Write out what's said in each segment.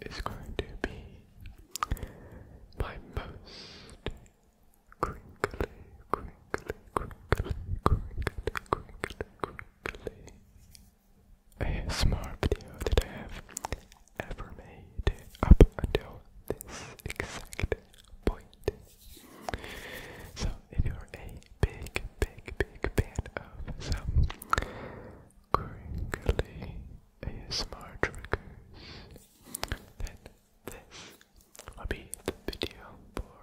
This is going to be my most a smart video that I have ever made up until this exact point. So if you're a big, big, big fan of some crinkly ASMR triggers, then will be the video for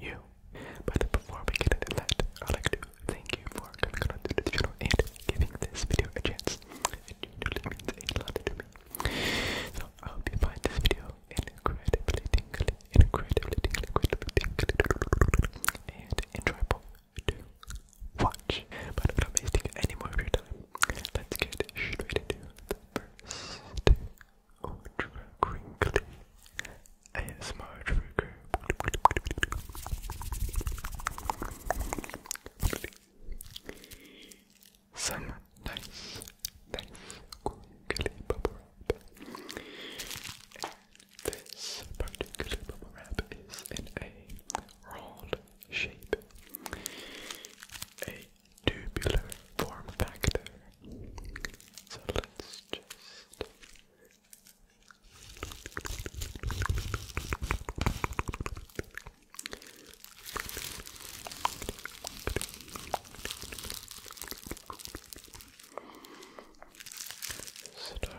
you. But before we get into that, I'd like to thank you for coming on to the channel and giving this video a chance. It means a lot to me. So I hope you find this video incredibly tingly, incredibly incredibly tingly, and enjoyable to watch. But I'm not wasting any more of your time. Let's get straight into the first ultra crinkly ASMR trigger. bubble wrap. this particular bubble wrap is in a rolled shape, a tubular form factor. So let's just. Start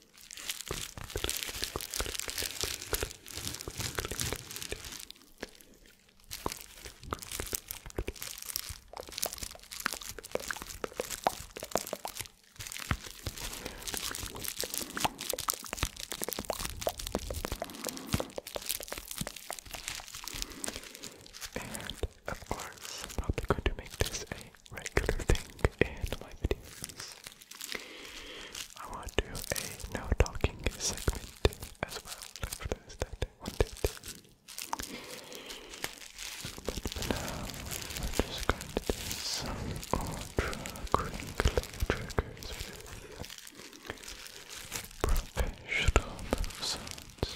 And of course, I'm probably going to make this a regular thing in my videos. I want to do a no talking segment as well for those that want it. But for now, I'm just going to do some ultra crinkly triggers with professional sounds.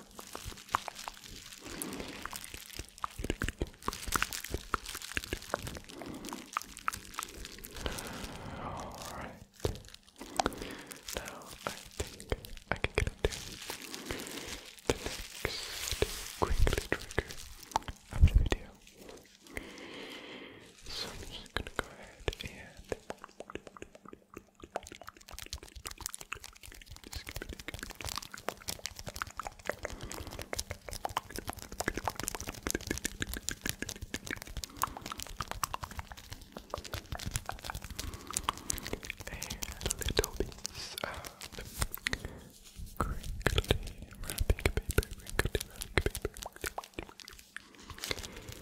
Alright. Now I think I can get into the next quickly trigger of the video. So I'm just gonna go ahead and little piece of crinkly wrapping paper, crinkly wrapping paper.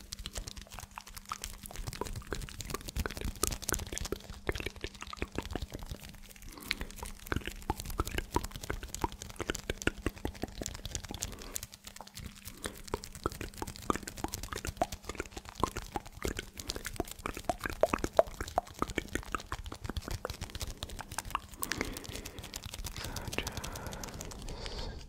So just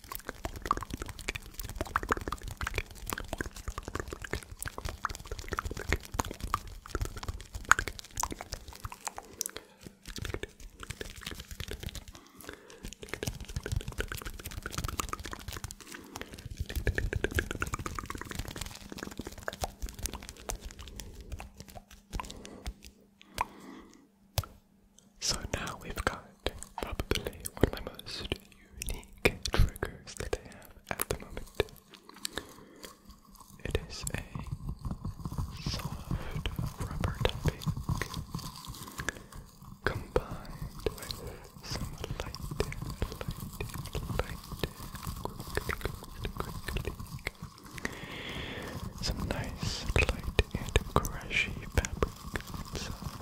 So now we've got probably one of my most unique triggers that I have at the moment. It is a soft rubber topping combined with some light, light, light, quick, some nice light and crushy fabric inside.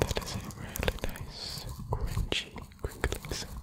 That is a really nice, crunchy, crinkling sound.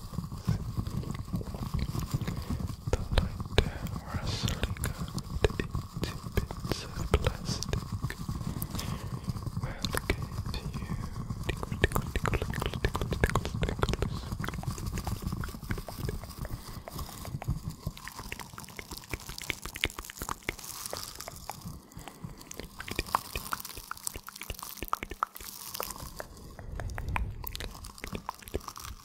The light rustling out into bits of plastic will give you tickle, tickle,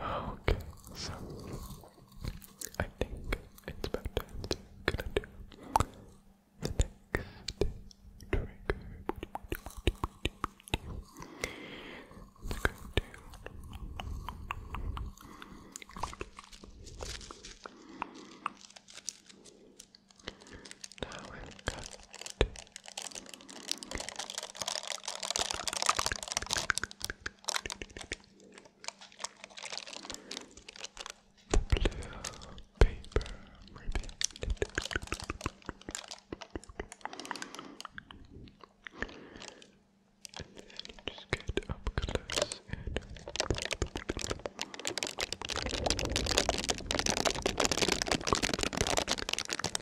Okay, so I think it's about time to do the next trigger. It's going to now we've got the blue paper ribbon. And then you just get up close and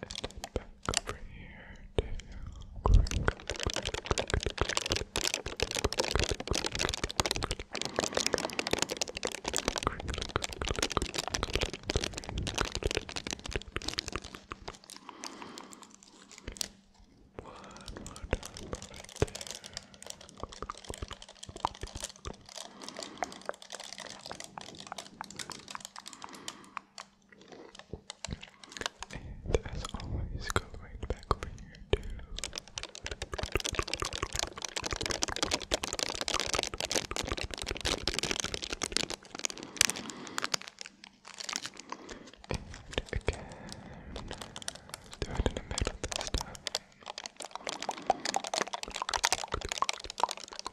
And then back over here to one more time right there. And as always, go back over here to and do it in the middle this time.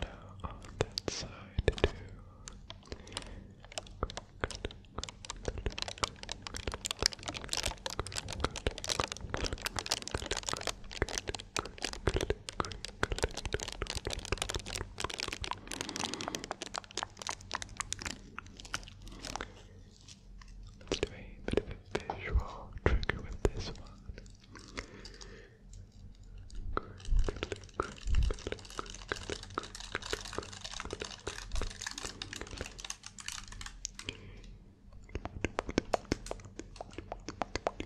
Now on that side too. Good, good, good, good, good, good, good, good, good, Let's do a bit of a visual trigger with this one.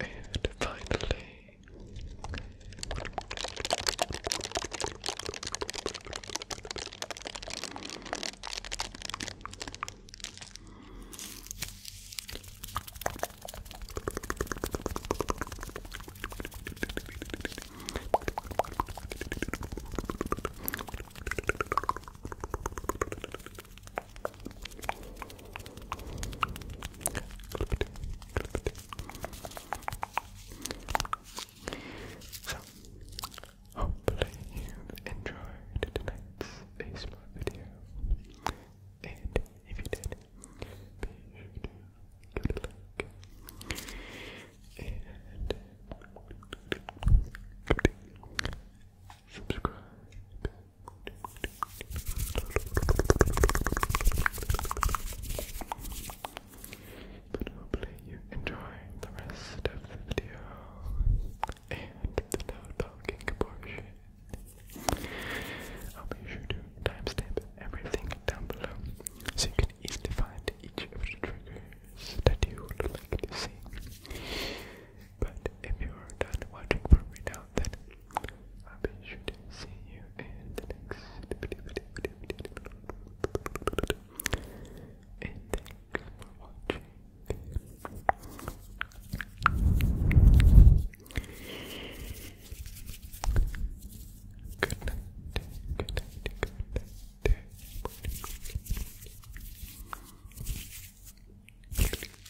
And finally, so, hopefully you enjoyed tonight's ASMR video. And if you did, be sure to give it a like. And subscribe but hopefully you enjoy the rest of the video and the no talking portion. I'll be sure to timestamp everything down below so you can easily find each of the triggers that you would like to see. But if you are done watching for me now, then I'll be sure to see you next And thanks for watching. Good night. Good night. Good night. Good night.